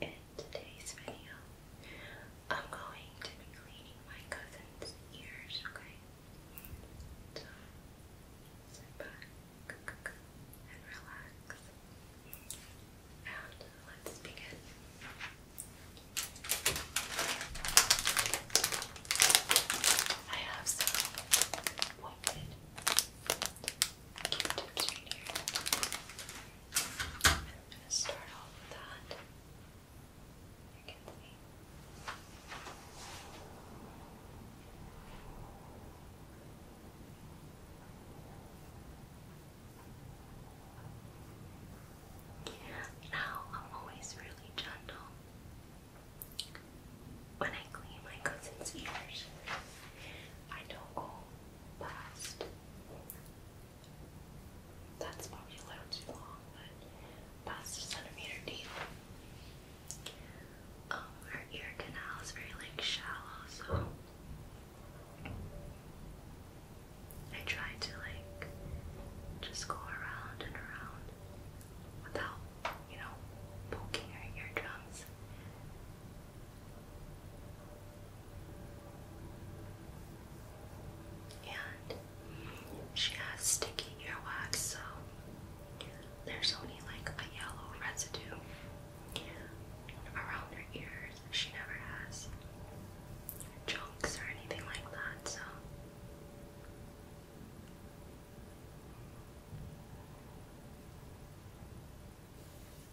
In today's video, I'm going to be cleaning my cousin's ears, okay? sit back and relax. And let's begin. I have some woken Q-tips right here. I'm gonna start off with that. You can see. Now I'm always really gentle when I clean my cousin's ears. I don't go last. That's probably a little too long, but past a centimeter deep. Um, our ear canal is very like shallow, so I try to like just go around and around without, you know, poking our eardrums. And she has sticky earwax, so there's only like a yellow residue around her ears. She never has chunks or anything like that, so.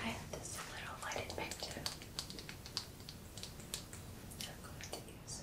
I have this little lighted picture. I'm going to use.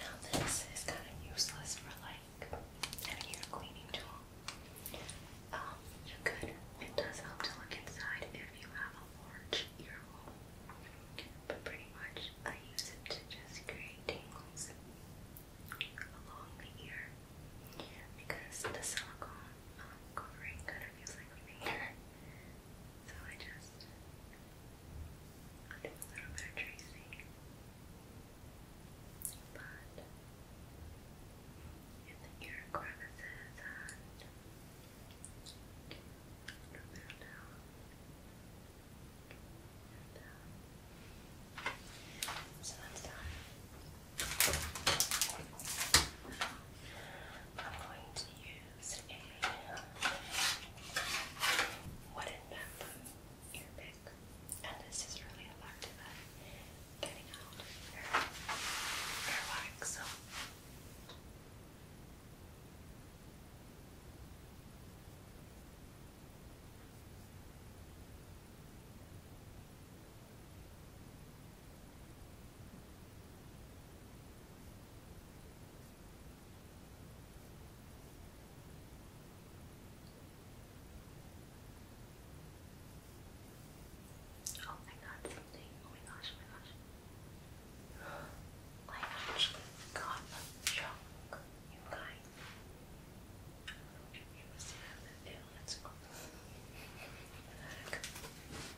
Now this is kind of useless for like having cleaning tool. Um, you could, it does help to look inside if you have a large ear hole. But pretty much I use it to just create tangles along the ear because the silicone um, covering kind of feels like finger. So I just do a little bit of tracing. But in the ear crevices and a little bit so that's done. I'm going to use a wooden bamboo ear and this is really effective at getting out your earwax. Oh my god, something. Oh my gosh, oh my gosh. I actually got a chunk, you guys. It was in the field, it's cool.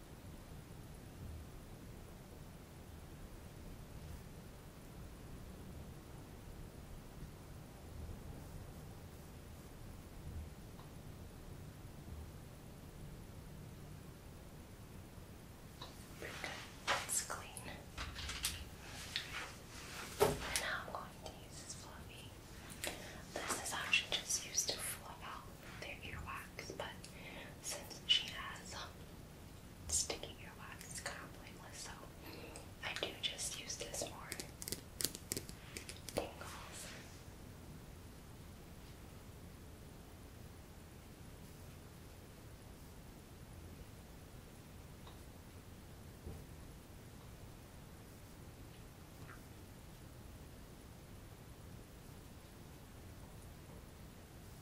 It's clean. I'm going to use this fluffy. This is actually just used to fluff out their earwax, but since she has um, earwax, it's kind of blameless, so I do just use this more tingles.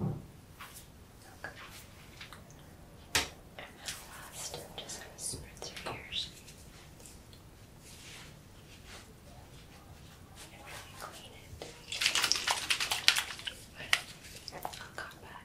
Okay. And last, I'm just going to spritz your ears and really clean it with a cotton pad.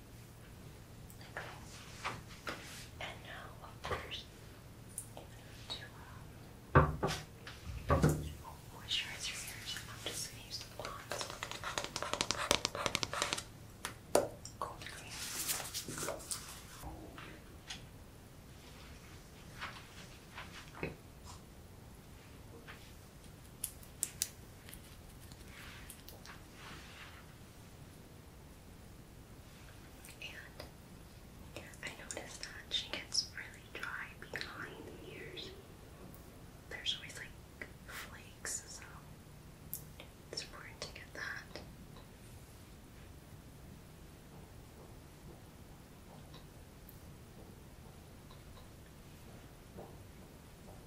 like this. And now, of course, I'm going to um, moisturize your ears. I'm just going to use the blonde. Gold cream. Okay. And I noticed that she gets really dry behind the ears. There's always like flakes, so it's important to get that.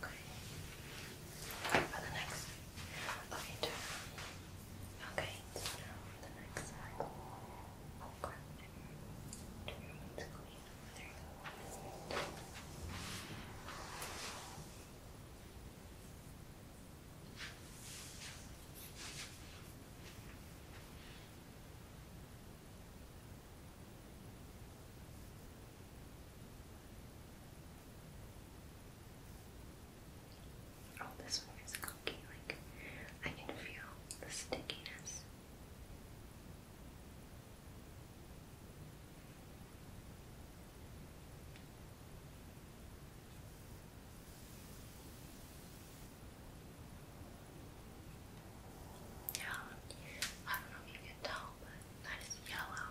Okay. For the next. Okay, turn around. Okay, so now for the next Okay. Turn around, it's clean. There you Oh, this one is cooking. Like I can feel the stickiness. Yeah, I don't know if you can tell, but that is yellow.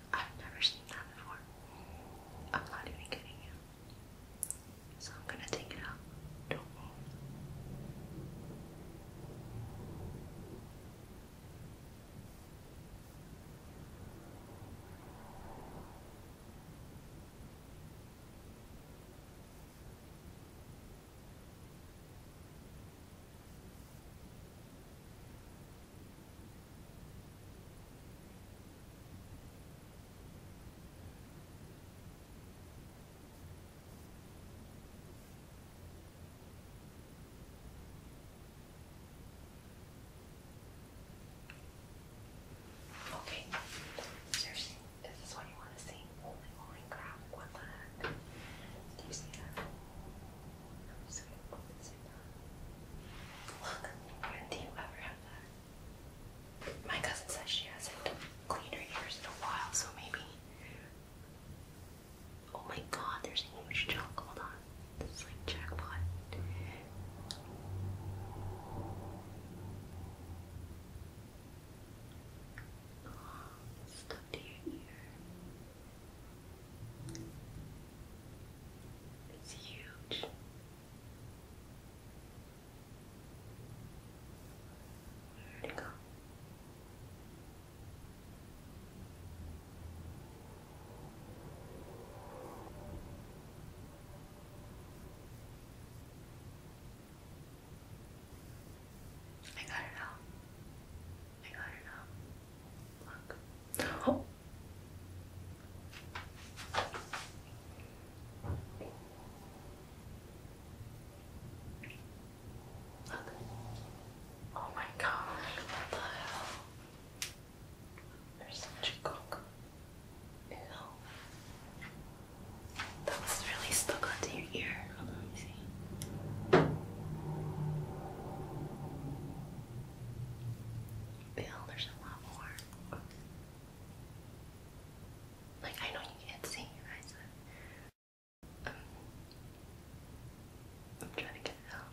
I've never seen that before. I'm not even kidding you. So I'm gonna take it out. Don't move. Okay. Seriously, is this what you want to see? Holy crap, what the heck? Do you see that? Look, when do you ever have that? My cousin says she hasn't ears in a while, so maybe. Oh my god, there's a huge chunk. Hold on. This is like jackpot. Stuck to your ear. It's huge. Where'd go? I got it out. I got it out. Look. Oh, Oh my god, what the hell? There's such a cook. Ew. That was really stuck onto your ear. let me see. Yeah, there's a lot more. Like I know you can't see, um, I'm trying to get out.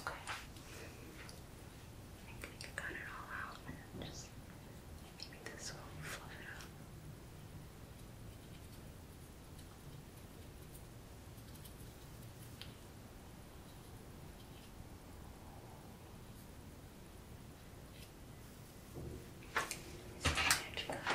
Okay. I think we got it all out just maybe this will fluff it up. So to cut it off.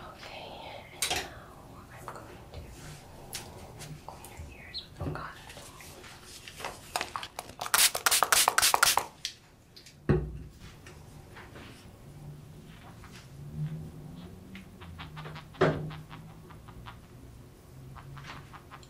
Okay, and now I'm going to clean your ears with oh, some cotton Okay.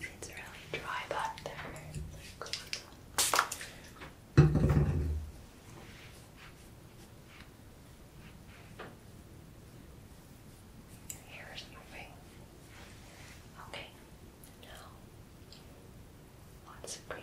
It's really dry back there. Your hair is moving. Okay, now lots of green.